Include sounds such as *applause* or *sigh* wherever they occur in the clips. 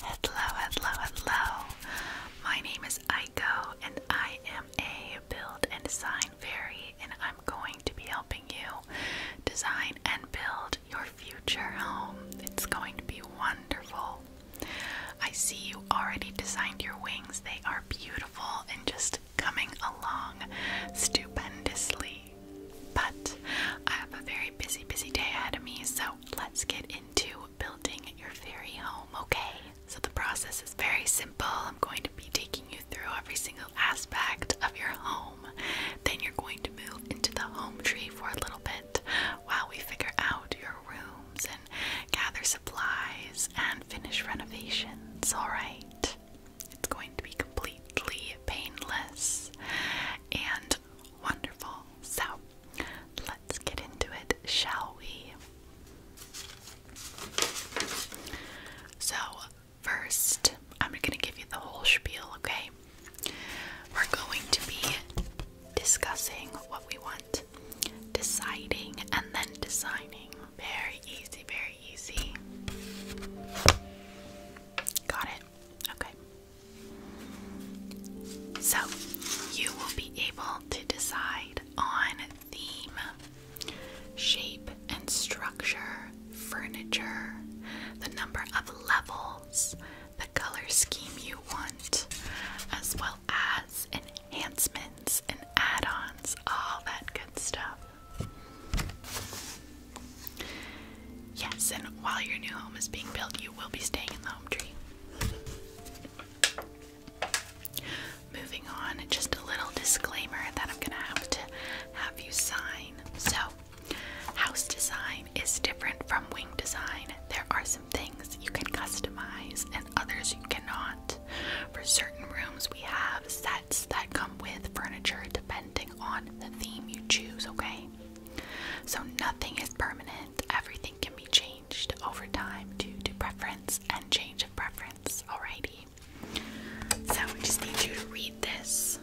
Hello, hello, hello. My name is I go, and I am a build and design fairy, and I'm going to be helping you design and build your future home. It's going to be wonderful. I see you already designed your wings, they are beautiful and just coming along stupendously. But I have a very busy, busy day ahead of me, so let's get into building your fairy home, okay? So the process is very simple. I'm going to be taking you through every single aspect of your home. Then you're going to move into the home tree for a little bit while we figure out your rooms and gather supplies and finish renovations, alright? It's going to be completely painless and wonderful. So Let's get into it, shall we? So, first, I'm going to give you the whole spiel, okay? We're going to be discussing what we want, deciding, and then designing. Very easy, very easy. Got it? Okay. So, you will be able to decide on theme, shape and structure, furniture, the number of levels, the color scheme you want, as well as enhancements and add ons, all that good stuff. Yes, and while your new home is being built, you will be staying in the home tree. Moving on, just a little disclaimer that I'm gonna have to have you sign. So, house design is different from wing design. There are some things you can customize and others you cannot. For certain rooms, we have sets that come with furniture depending on the theme you choose, okay? So, nothing is permanent, everything can be changed over time due to preference and change of preference. Alrighty. So we just need you to read this.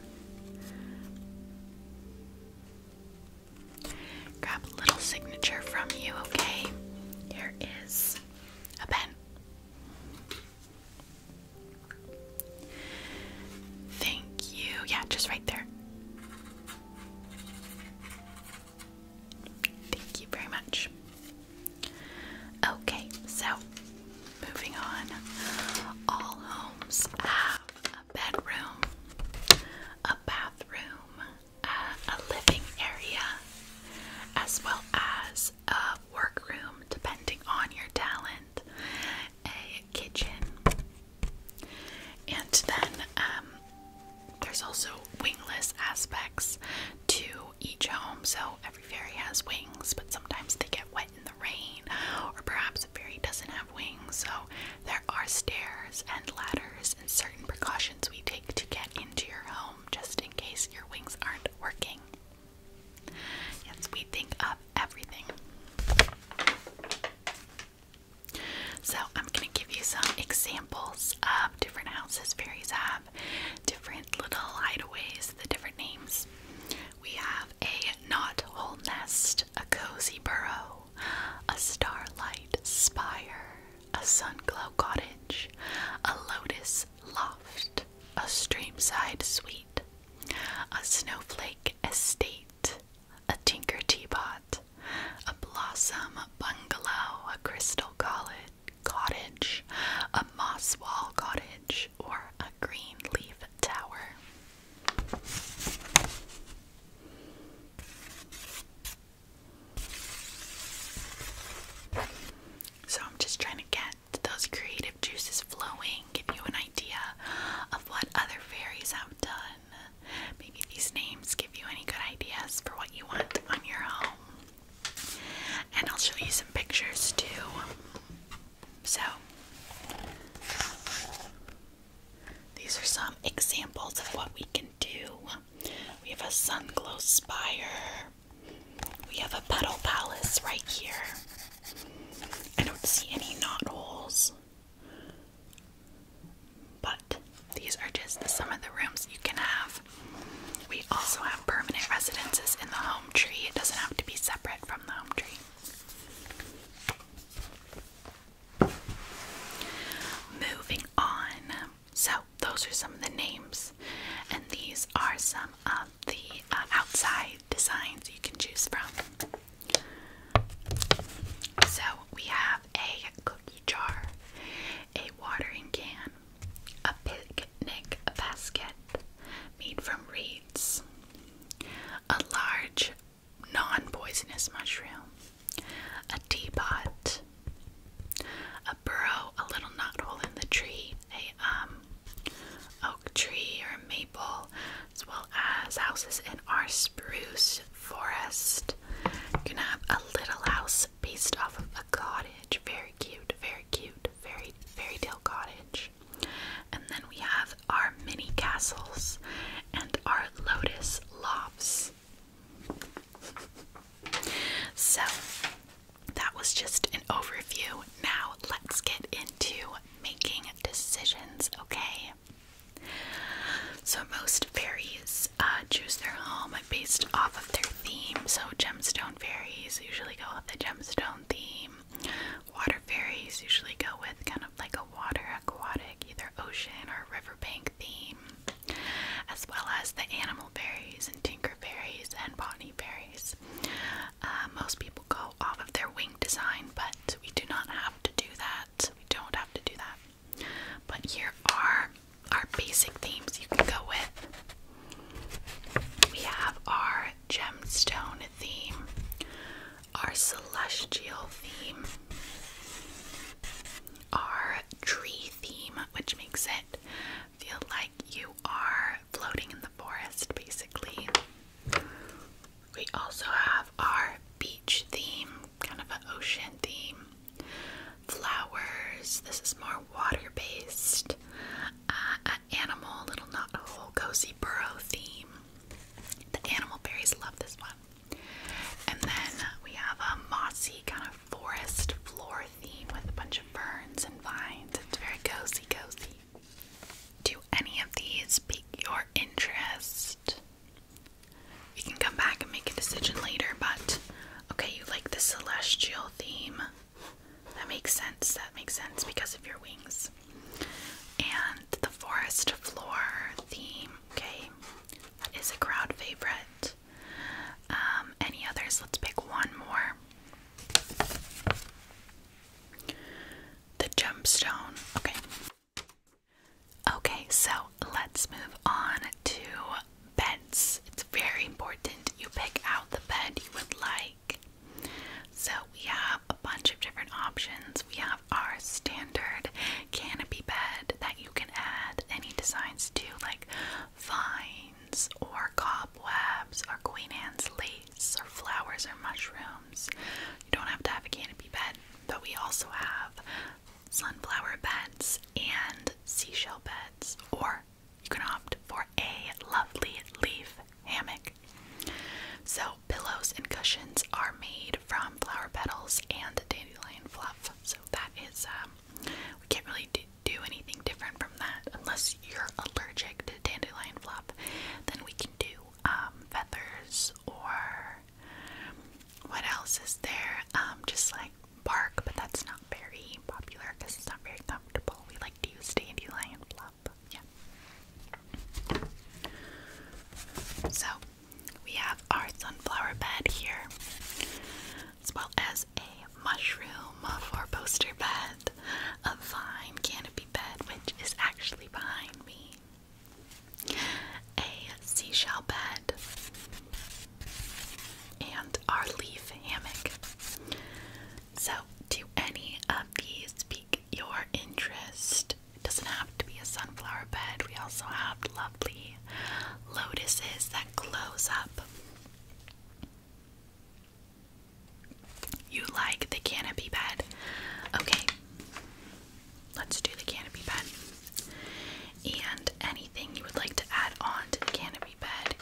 Grab a little signature from you, okay? Here is a pen. Thank you. Yeah, just right there. Thank you very much. Okay, so moving on. All homes have a bedroom, a bathroom, uh, a living area, as well as a workroom, depending on your talent, a kitchen, and then um, there's also wingless aspects to each home, so every fairy has wings, but sometimes they get wet in the rain, or perhaps a fairy doesn't have wings, so there are stairs and ladders and certain precautions we take to get into your home just in case your wings aren't working. Yes, we think of everything. So I'm gonna give you some examples of different houses fairies have, different little hideaways, the different names. We have a knot hole nest, a cozy burrow, a starlight spire, a sun glow cottage, a lotus loft, a streamside suite, a snowflake estate, a tinker teapot a blossom bungalow, a crystal cottage, a moss wall cottage, or a green leaf tower. So, I'm just trying to get those creative juices flowing, give you an idea of what other fairies have done maybe these names give you any good ideas for what you want on your home. And I'll show you some pictures too. So, these are some examples of what we can do. We have a sun glow spire. We have a petal palace right here. I don't see any knot holes. But these are just some of the rooms you can have. We also have permanent residences in the home tree. It doesn't have to be separate from the home tree. Moving on. So, those are some of the names, and these are some of the uh, outside designs you can choose from. So, we have a cookie jar, a watering can, a picnic basket made from reeds, a large non poisonous mushroom, a teapot, a burrow, a little knot hole in the tree, a um, oak tree or maple, as well as houses in our spruce forest. You can have a little house based off of a cottage. Very cute, very cute, very fairy tale cottage. And then we have our mini castles and our lotus lofts. So that was just an overview. Now let's get into making decisions, okay? So most fairies uh, choose their home based off of their theme. So, gemstone fairies usually go with the gemstone theme. Water fairies usually go with kind of like a water aquatic, either ocean or riverbank theme, as well as the animal fairies and tinker fairies and botany fairies. Uh, most people go off of their wing design, but we do not have to do that. We don't have to do that. But here are our basic themes you can go with. We have our gemstone theme, our celestial theme, our tree theme, which makes it feel like you are floating in the forest basically. We also have our beach theme, kind of an ocean theme. Flowers, this is more water based. Uh, animal, little knot hole, cozy burrow theme. The animal berries love this one. And then we have a mossy kind of forest floor theme with a bunch of ferns and vines. It's very cozy, cozy. Do any of these pique your interest? you can come back and make a decision later, but okay, you like the celestial theme. That makes sense. That makes sense because of your wings. And the forest floor theme, okay, that is a crowd favorite. Um, any others? Let's pick one more. The gemstone, okay. Okay, so let's move on to beds. It's very important you pick out the bed you would like. So, we have a bunch of different options. We have our standard canopy bed that you can add any designs to, like vines or cobwebs or Queen Anne's lace or flowers or mushrooms. You don't have to have a canopy bed, but we also have sunflower beds and seashell beds or you can opt for a lovely leaf hammock. So, pillows and cushions are made from flower petals and dandelion fluff. So, that is, um, we can't really do, anything different from that unless you're allergic to dandelion fluff. Then we can do um, feathers or what else is there? Um, just like Park, but that's not very popular because it's not very comfortable. We like to use dandelion fluff. Yeah. So we have our sunflower bed here, as well as a mushroom for poster bed, a vine canopy bed, which is actually behind me, a seashell bed, and our leaf hammock. So, do any of these pique your interest? It doesn't have to be a sunflower bed. We also have lovely lotuses that close up. You like the canopy bed? Okay, let's do the canopy bed and anything you would like to add on to the canopy bed.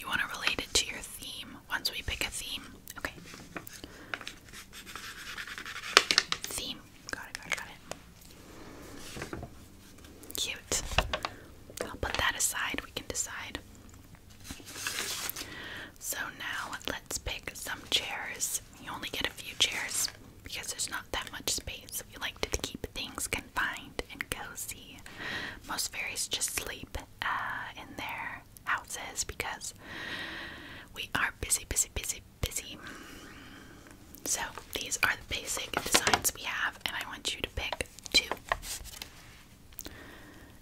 You want to relate it to your theme once we pick a theme. Okay. Theme. Got it, got it, got it. Cute. I'll put that aside. We can decide. So now let's pick some chairs. You only get a few chairs because there's not that much space. We like to keep things confined and cozy. Most fairies just sleep uh, in their houses because we are busy, busy, busy, busy. So these are the basic designs we have, and I want you to pick two.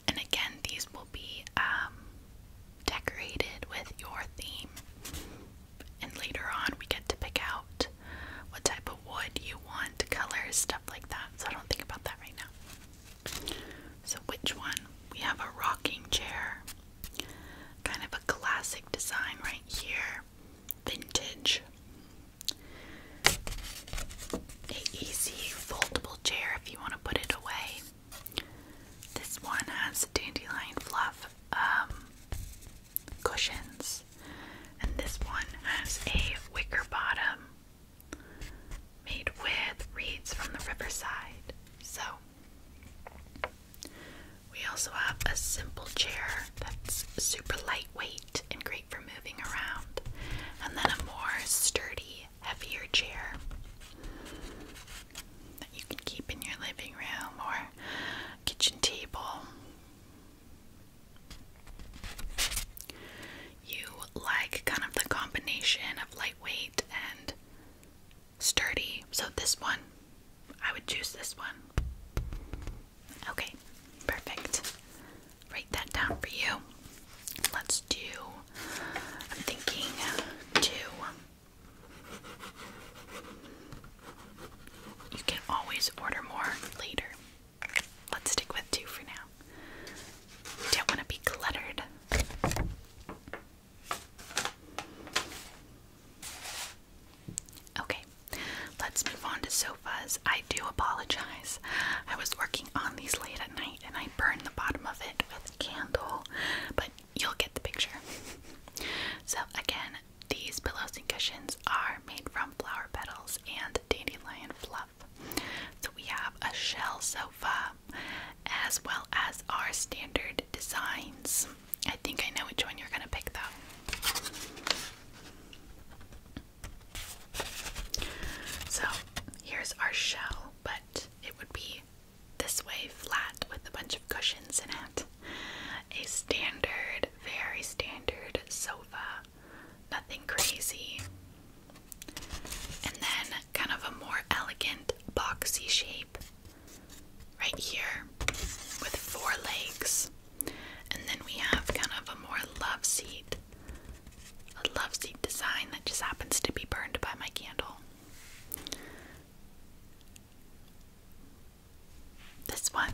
And again, these will be um, decorated with your theme and later on we get to pick out what type of wood you want, colors, stuff like that. So I don't think about that right now. So which one? We have a rocking chair. Kind of a classic design right here. Vintage. A easy foldable chair if you want to put it away. This one has dandelion fluff um, cushions. And this one has a wicker bottom made with reeds from the riverside. So, we also have a simple chair that's super lightweight and great for moving around, and then a more sturdy, heavier chair that you can keep in your living room or kitchen table. You like kind of the combination of lightweight and sturdy. So, this one, I would choose this one. Okay, perfect. Write that down for you. Let's do, I'm thinking two. You can always order more later. Let's stick with two for now. don't want to be cluttered. Okay, let's move on to sofas. I do apologize. I was working on these late at night and I burned the bottom of it with a candle, but you'll get the picture. so, again, these pillows and cushions are made from flower petals and dandelion fluff. So we have a shell sofa as well as our standard designs. I think I know which one you're going to pick though. So here's our shell, but it would be this way flat with a bunch of cushions in it. A standard, very standard sofa. Nothing crazy. And then kind of a more elegant, boxy shape right here with four legs. And then we have kind of a more love seat. A love seat design that just happens to be burned by my candle. This one.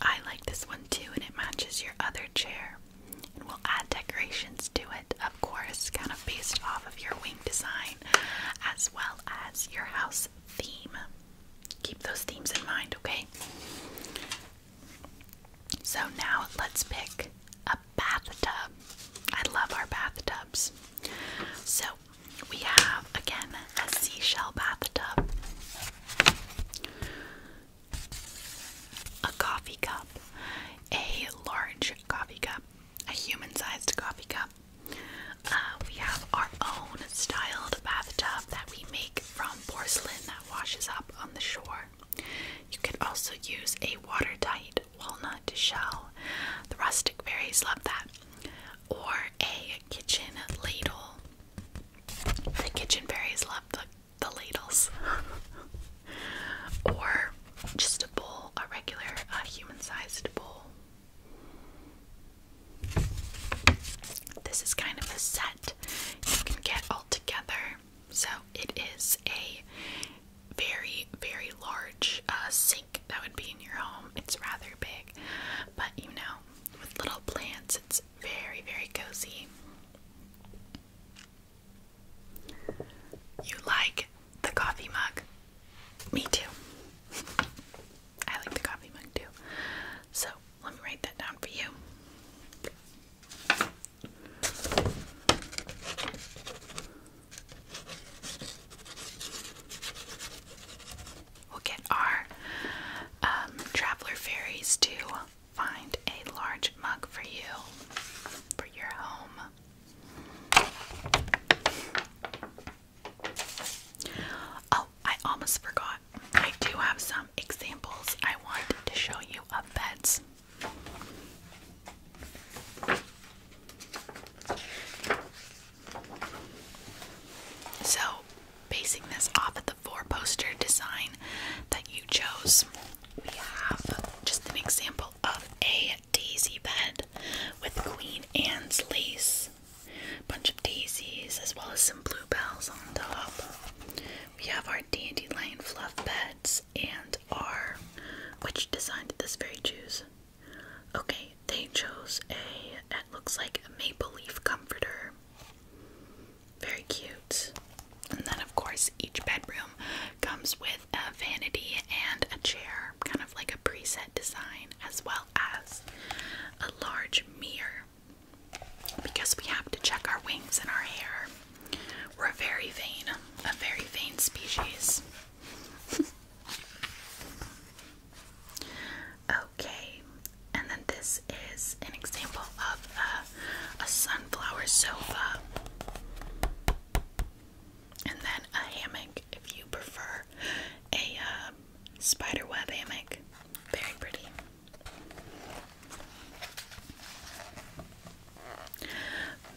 I like this one too, and it matches your other chair. And we'll add decorations to it, of course, kind of based off of your wing design as well as your house theme. Keep those themes in mind, okay? So now let's pick a bathtub. I love our bathtubs. So we have again a seashell bathtub. A coffee cup, a large coffee cup, a human sized coffee cup. Uh, we have our own styled bathtub that we make from porcelain that washes up on the shore. You could also use a watertight walnut shell. The rustic berries love that. Or a kitchen ladle the kitchen fairies love the, the ladles. *laughs* or just a bowl, a regular human sized bowl. This is kind of a set you can get all together. So it is a very, very large uh, sink that would be in your home. It's rather big, but you know, with little plants, it's very, very cozy. You like the coffee mug? Me too. I like the coffee mug too. So let me write that down for you. We'll get our um, traveler fairies to find a large mug for you, for your home. Oh, I almost forgot. I do have some examples I want to show you of beds. So, basing this off of the four poster design that you chose. We have just an example of a daisy bed with Queen Anne's lace, bunch of daisies, as well as some bluebells on top. We have our dandelion fluff beds and our. Which design did this very choose? Okay, they chose a. that looks like a maple leaf comforter. Very cute. And then, of course, each bedroom comes with a vanity and a chair, kind of like a preset design, as well as a large mirror because we have to check our wings and our hair. We're a very vain, a very vain species. *laughs* Okay, and then this is an example of a, sunflower sofa, and then a hammock if you prefer a uh, hammock. Very pretty.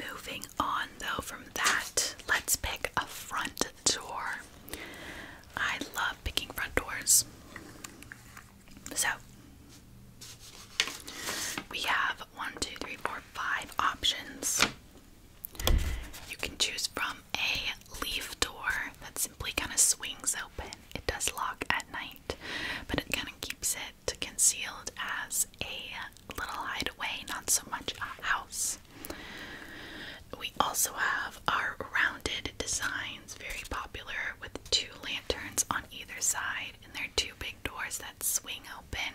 Moving on though from that, let's pick a front door. I love picking front doors. So we have one, two, three, four, five options. You can choose from a leaf door that simply kind of swings open. It does lock at night, but it kind of keeps it concealed as a little hideaway, not so much a house. We also have our rounded design very popular, with two lanterns on either side, and there are two big doors that swing open.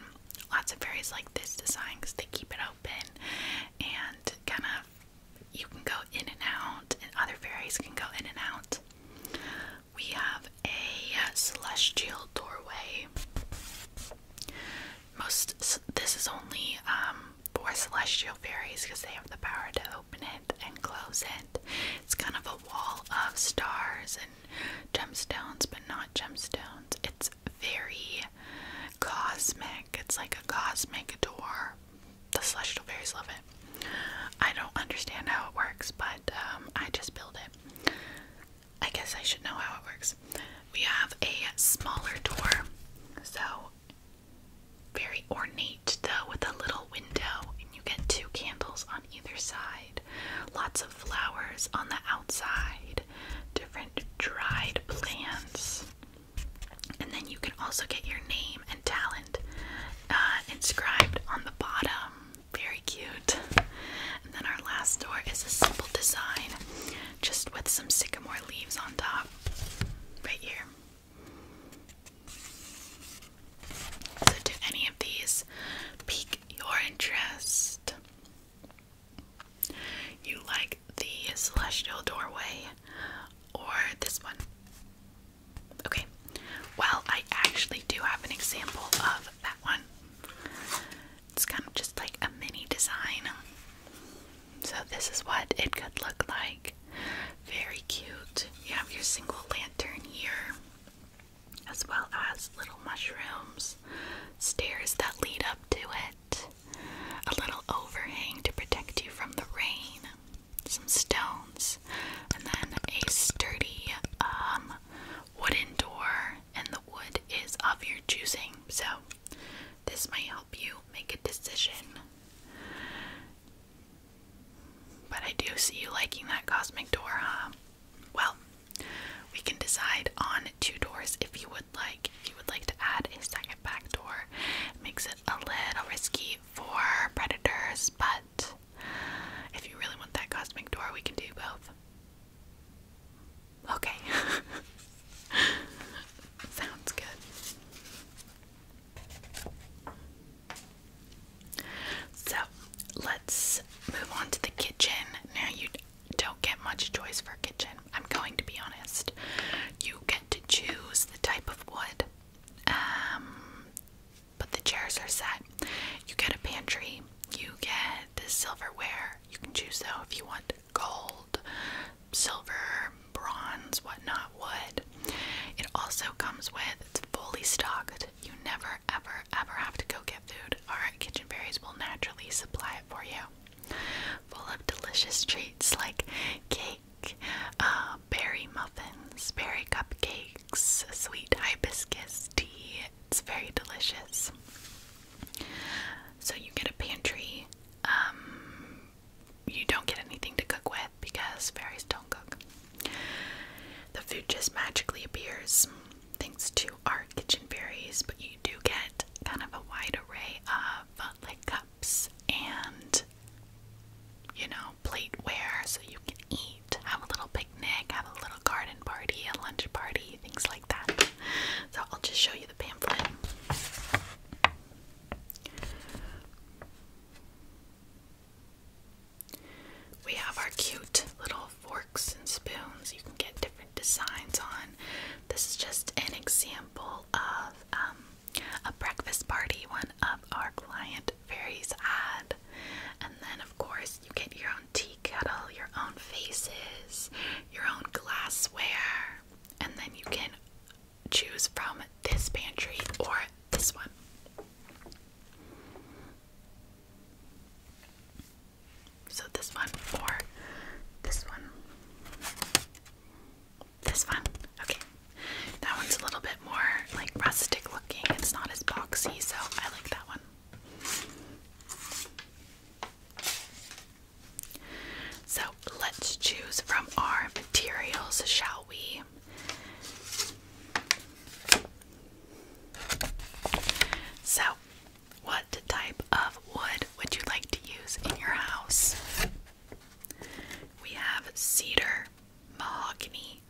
Lots of areas like this design because they keep it open and kind of you can go in and out, and other fairies can go in and out. We have a celestial doorway. Most this is only um, for celestial fairies because they have the power to open it and close it. It's kind of a wall of stars and gemstones, but not gemstones. It's very cosmic. It's like a cosmic door. The celestial fairies love it. I don't understand how it works, but um, I just build it. I guess I should know how it works. We have a smaller door, so very ornate though, with a little window, and you get two candles on either side. Lots of flowers on the outside, different dried plants. And then you can also get your name and talent uh, inscribed on the bottom. Very cute. And then our last door is a simple design, just with some sycamore leaves on top, right here. So, do any of these pique your interest? You like the celestial doorway or this one? Okay, well, I actually do have an example of that one. It's kind of just like a mini design. So, this is what it could look like. Very cute. You have your single lantern here, as well as little mushrooms, stairs that lead up to it, a little overhang to protect you from the rain, some stones, and then a sturdy um, wooden door. And the wood is of your choosing, so this might help you make a decision. But I do see you liking that cosmic door, Well, we can decide on two doors if you would like. If you would like to add a second back door, makes it a little risky for predators, but if you really want that cosmic door, we can do both. Okay. *laughs* Sounds good. So let's move on to the kitchen. Now, you don't get much choice for kitchen, I'm going to be honest. You get to choose the type of wood, um, but the chairs are set. You get a pantry, you get the silverware. You can choose though if you want gold, silver, bronze, whatnot, wood. It also comes with, it's fully stocked. You never, ever, ever have to go get food. Alright, Kitchen Berries will naturally supply it for you. Full of delicious treats like cake, uh, berry muffins, berry cupcakes, sweet hibiscus tea. It's very delicious. So you get a pantry. Um, you don't get anything to cook with because fairies don't cook. The food just magically appears thanks to our kitchen fairies, but you do get kind of a wide array of like cups and you know, plateware so you can eat, have a little picnic, have a little garden party, a lunch party, things like that. So I'll just show you the pamphlet. We have our cute little forks and spoons you can get different designs on. This is just an example of um, a breakfast party one of our client fairies had. And then, of course, you get your own tea kettle, your own faces, your own glassware, and then you can choose from this pantry or this one. So, this one or this one. This one. Okay. That one's a little bit more like rustic looking. It's not as boxy, so I like that one. So let's choose from our materials, shall we? So, what type of wood would you like to use in your house? We have cedar, mahogany,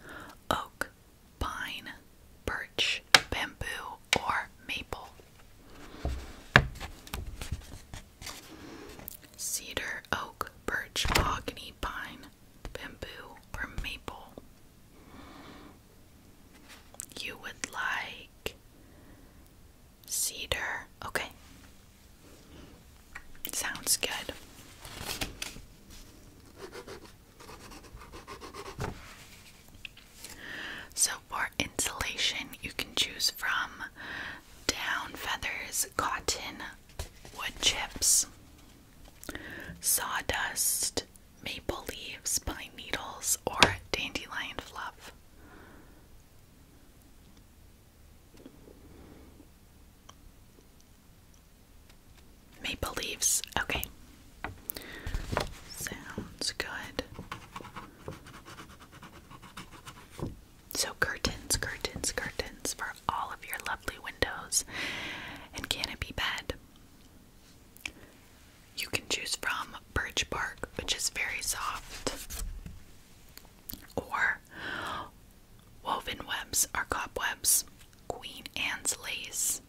oak, pine, birch, bamboo, or maple. Cedar, oak, birch, mahogany, pine, bamboo, or maple. You would like cedar. Okay. Sounds good. So, for insulation, you can choose from down feathers, cotton, wood chips, sawdust, maple leaves, pine needles, or dandelion fluff. Maple leaves, okay. Sounds good. So, curtains, curtains, curtains for all of your lovely windows and canopy bed. You can choose from birch bark, which is very soft, or woven webs or cobwebs, Queen Anne's lace,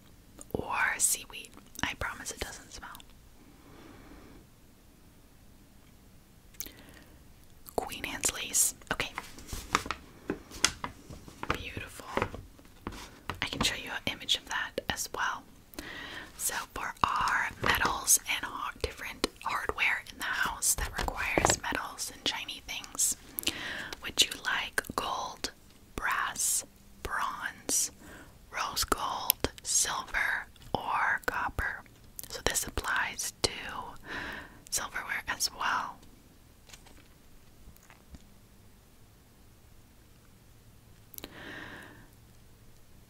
or seaweed. I promise it doesn't smell. Queen Anne's lace. Okay. Beautiful. I can show you an image of that as well. So for our metals and different hardware in the house that requires metals and shiny things, would you like gold, brass, bronze, rose gold, silver, or copper? So this applies to silverware as well.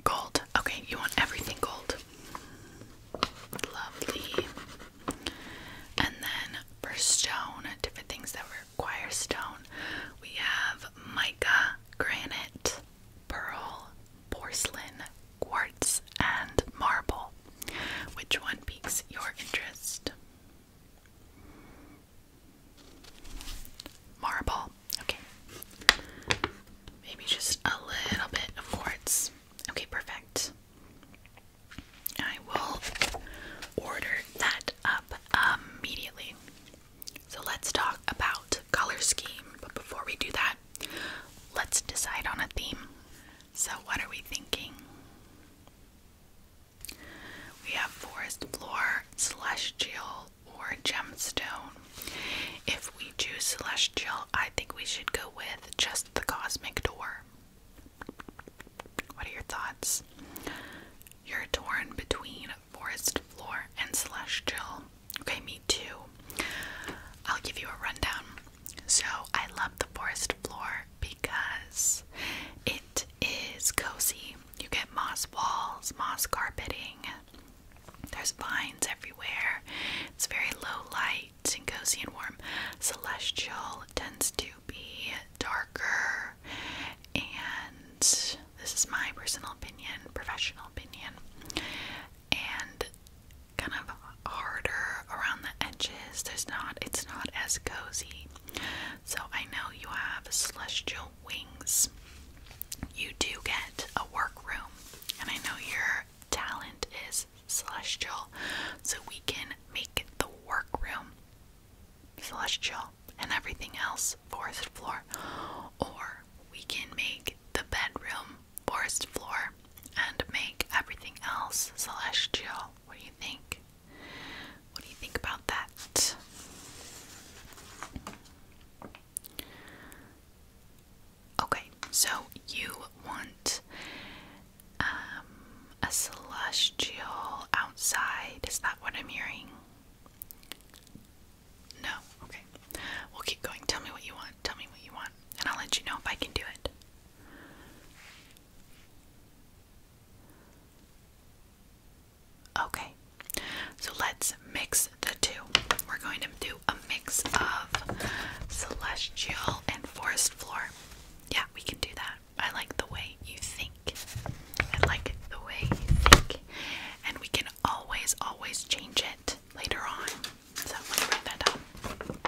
Gold. Okay, you want everything gold. Lovely. And then for stone, different things that require stone, we have mica, granite, pearl, porcelain, quartz, and marble. Which one piques your interest? Marble. Okay. Maybe just a little bit of quartz. Okay, perfect. I will order that up um, immediately. So let's talk about color scheme, but before we do that, let's decide on a theme. So, what are we thinking? We have forest floor, celestial, or gemstone. If we choose celestial, I think we should go with just the cosmic door. What are your thoughts? You're torn between forest floor and celestial. Okay, me too. I'll give you a rundown. So I love the forest floor because it is cozy. You get moss walls, moss carpeting. There's vines everywhere. It's very low light and cozy and warm. Celestial tends to be darker, and this is my personal opinion, professional opinion. And kind of harder around the edges. There's not it's not as cozy. So I know you have celestial wings. You do get a work room, and I know your talent is celestial, so we can make the work room celestial and everything else forest floor, or we can make the bedroom forest floor and make everything else celestial. What do you think? What do you think about that? Okay, so you want um, a celestial outside. Is that what I'm hearing? No? Okay. We'll keep going. Tell me what you want. Tell me what you want. And I'll let you know if I can do it. Okay, so let's mix the two. We're going to do a mix of celestial and forest floor. Yeah, we can do that. I like the way you think. I like the way you think. And we can always, always change it later on. So let me write that down.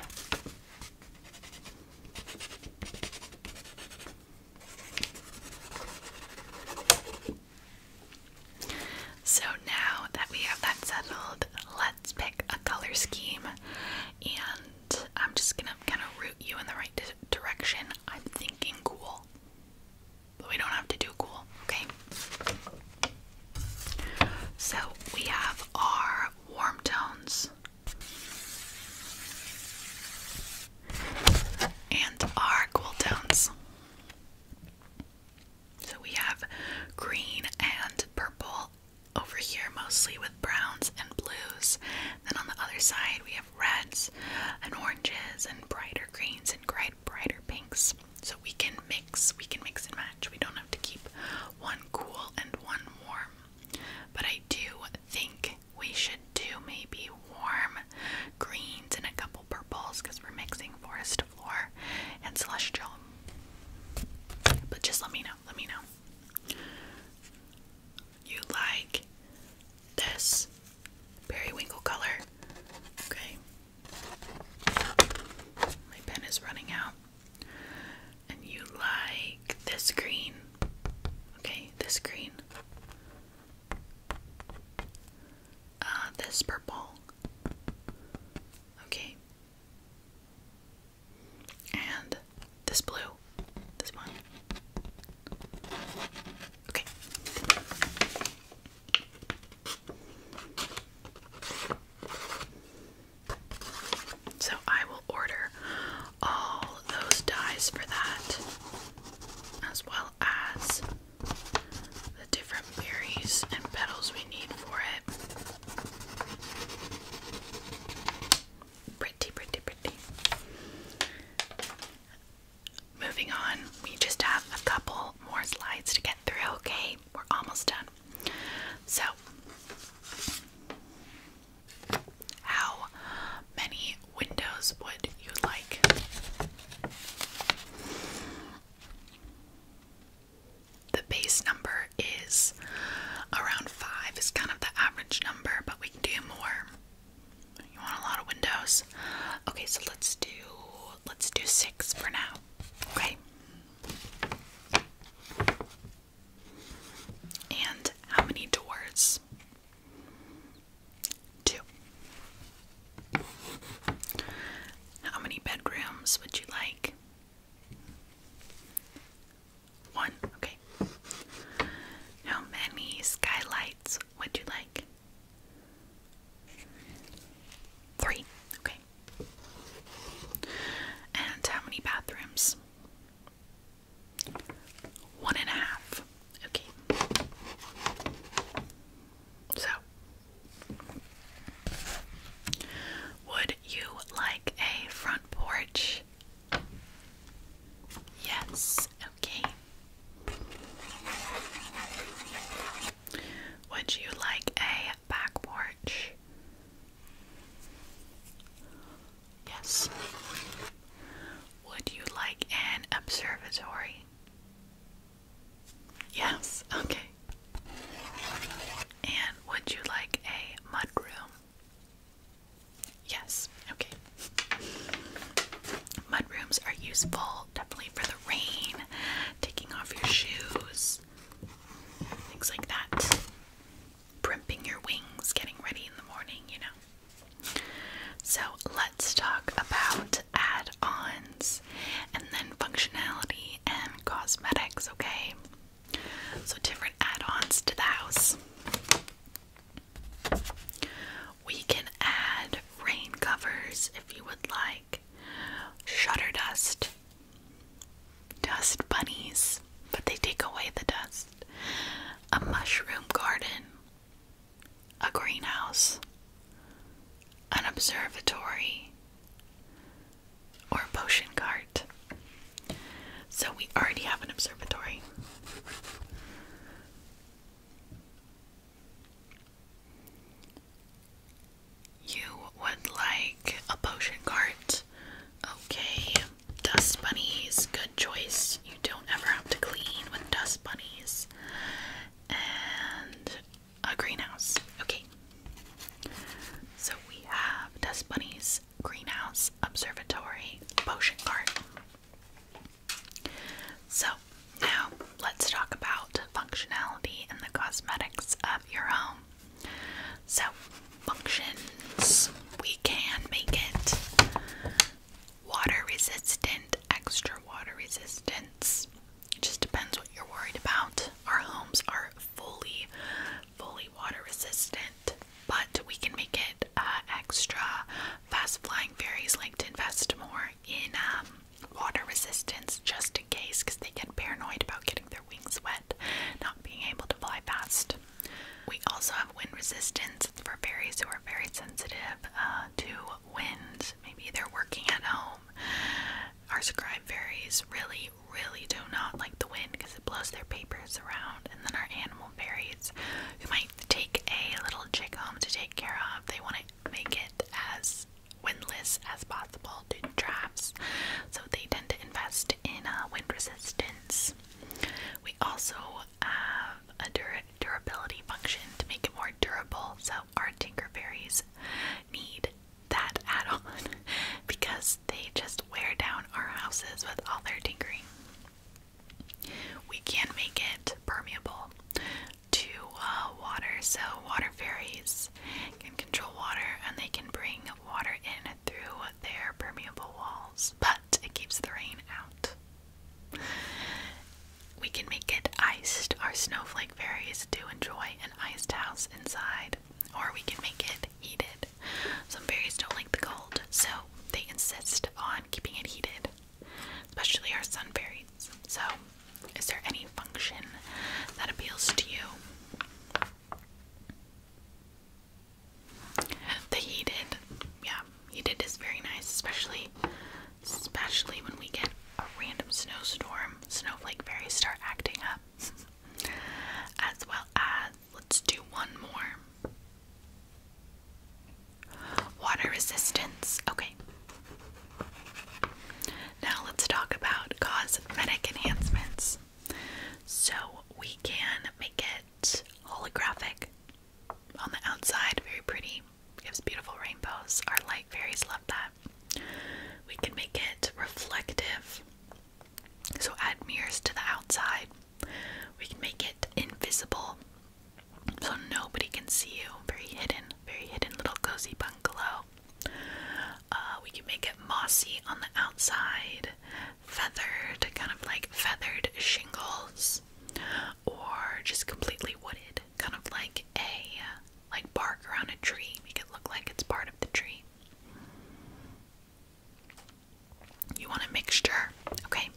So now that we have that settled, let's pick a color scheme and I'm just gonna kind of root you in the right direction. I'm thinking cool, but we don't have to do cool, okay? So we have our warm tones. And our cooldowns. So we have green and purple over here, mostly with browns and blues. Then on the other side, we have reds and oranges and brighter greens and bright, brighter pinks. So we can mix, we can mix and match. We don't have to keep one cool and one warm. But I do think we should do maybe warm greens and a couple purples because we're mixing forest floor and celestial. But just let me know, let me know. You like this periwinkle color? Okay. My pen is running out. And you like this green. Okay, this green. Uh, this purple. Okay. And this blue. This one. Okay. So I will order all those dies for that, as well as the different berries and petals we need for it. Pretty, pretty, pretty. Moving on, we just have a couple more slides to get through, okay? We're almost done. So, how many windows would you like? The base number is around five, is kind of the average number, but we can do more. You want a lot of windows? Okay, so let's do let's do six for now. Okay. And how many doors? Two. How many bedrooms would you like? One, okay. How many skylights would you like? Three, okay. And how many bathrooms? One and a half. Okay. So, would you like a front porch? Yes. Okay. Would you like a back porch? Yes. Would you like an observatory? Yes, okay. And would you like a mud Yes, okay. Mud are useful definitely for the rain, taking off your shoes, things like that primping your wings, getting ready in the morning, you know. So let's talk about add ons and then functionality and cosmetics, okay? So, different add ons to the house. We can add rain covers if you would like, shutter dust, dust bunnies, but they take away the dust, a mushroom garden, a greenhouse, an observatory, or a potion cart. So we already have an observatory. You would like a potion cart. Okay dust bunnies, good choice. You don't ever have to clean with dust bunnies. And a greenhouse. Okay. So we have dust bunnies, greenhouse, observatory, potion garden. So now let's talk about functionality and the cosmetics of your home. So functions. We can make it water resistant, extra water resistance. It Just depends what you're worried about. Our homes are fully, fully water resistant, but we can make it uh, extra. Fast flying fairies like to invest more in um, water resistance just in case because they get paranoid about getting their wings wet, not being able to fly fast. We also have wind resistance. for berries who are very sensitive uh, to wind. Maybe they're working at home. Our scribe berries really, really do not like the wind because it blows their papers around. And then our animal berries, who might take a little chick home to take care of, they want to make it as windless as possible due to drafts. So they tend to invest in uh, wind resistance. We also have a durability function to make it more durable, so our Tinkerberries need that add-on *laughs* because they just wear down our houses with all their tinkering. We can make it permeable to uh, water, so water fairies can control water and they can bring water in through their permeable walls, but it keeps the rain out. We can make it iced. Our snowflake fairies do enjoy an iced house inside, or we can make it heated. Some fairies don't like the cold, so they insist on keeping it heated, especially our sun fairies. So, is there any function that appeals to you? The he yeah, he is very nice, especially, especially when we get a random snowstorm. Snowflake fairies start acting up, *laughs* as well as let's do one more. Water resistance. Okay. Now let's talk about cosmetic enhancements. So we can make it holographic. On the outside, very pretty. Gives beautiful rainbows. Our light fairies love that. We can make it reflective. So add mirrors to the outside. We can make it invisible. So nobody can see you. Very hidden, very hidden little cozy bungalow. Uh, we can make it mossy on the outside feathered, kind of like feathered shingles, or just completely wooded, kind of like a like bark around a tree, make it look like it's part of the tree. You want a mixture, okay?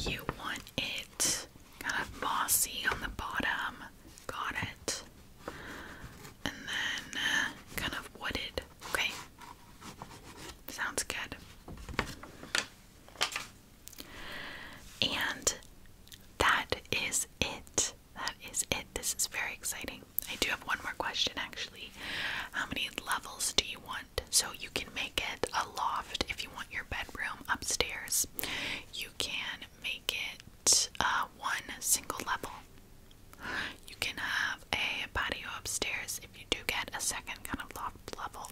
You want it kind of mossy on the bottom, got it, and then uh, kind of wooded Okay. Sounds good. And that is it. That is it. This is very exciting. I do have one more question actually. How many levels do you want? So you can make it a loft if you want your bedroom upstairs. You can make it uh, one single level. You can have a patio upstairs if you do get a second kind of loft level,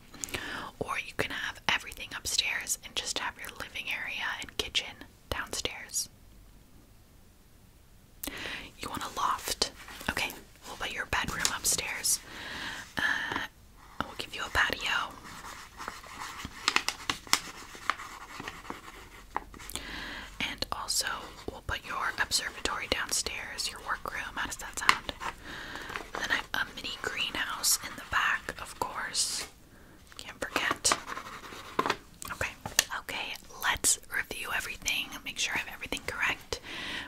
or you can have everything upstairs and just have your living area and kitchen downstairs. You want a loft, okay? We'll put your bedroom upstairs. Uh, we'll give you a patio. And also, we'll put your observatory downstairs, your workroom. How does that sound? then a mini greenhouse in the back, of course. Can't forget. Okay. Okay, let's review everything. Make sure I have everything correct.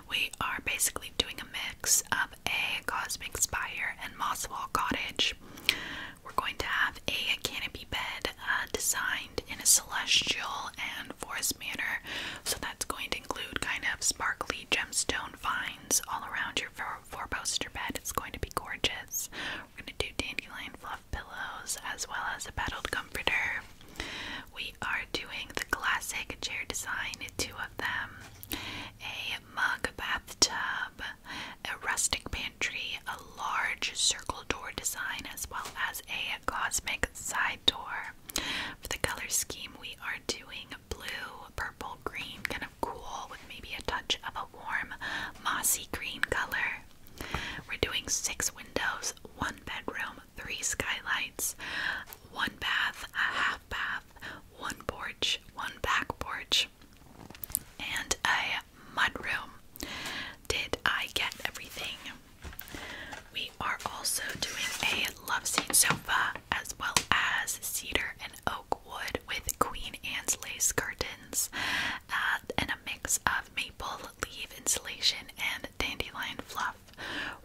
We are basically doing a mix of a Cosmic Spire and Mosswall Cottage. We're going to have a canopy bed uh, designed in a celestial and forest manner so that's going to include kind of sparkly gemstone vines all around your four-poster bed. It's going to be gorgeous. We're going to do dandelion fluff pillows as well as a padded comforter. We are doing the classic chair design, two of them, a mug bathtub, a rustic pantry, a large circle door design, as well as a cosmic side door. For the color scheme, we are doing blue, purple, green, kind of cool with maybe a touch of a warm, mossy green color. We're doing six windows, one bedroom, three skylights, one bath, a half bath, one porch, one back porch, and a mudroom. Did I get everything? We are also doing a love seat sofa as well as cedar and oak wood with Queen Anne's lace curtains uh, and a mix of maple leaf insulation and dandelion fluff.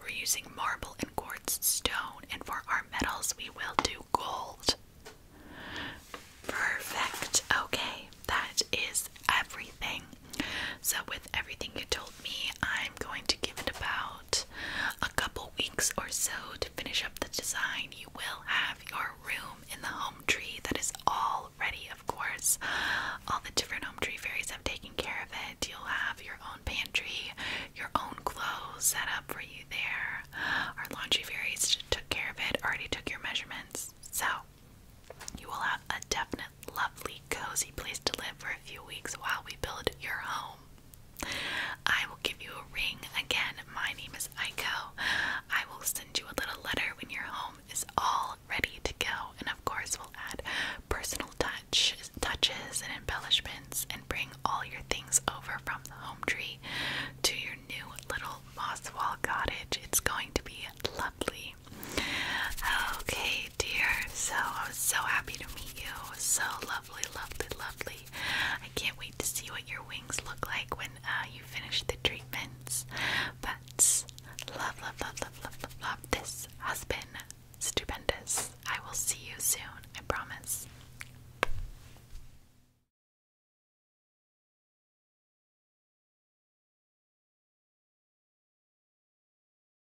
We're using marble and quartz stone, and for our metals, we will do gold. Perfect. Okay, that is everything. So, with everything you told me, I'm going to give it about a couple weeks or so to finish up the design. You will have your room in the home tree that is all ready, of course. All the different home tree fairies have taken care of it. You'll have your own pantry, your own clothes set up for you there. Our laundry fairies took care of it, already took your measurements. So, you will have a definite lovely, cozy place to live for a few weeks while we build your home. I will give you a ring. Again, my name is Aiko. I will send you a little letter when your home is all ready to go, and of course, we'll add personal touch, touches and embellishments, and bring all your things over from the home tree to your new little moss wall cottage. It's going to be lovely. Okay, dear. So so happy to you. So lovely, lovely, lovely. I can't wait to see what your wings look like when uh, you finish the treatments. But love, love, love, love, love, love, love. This has been stupendous. I will see you soon, I promise.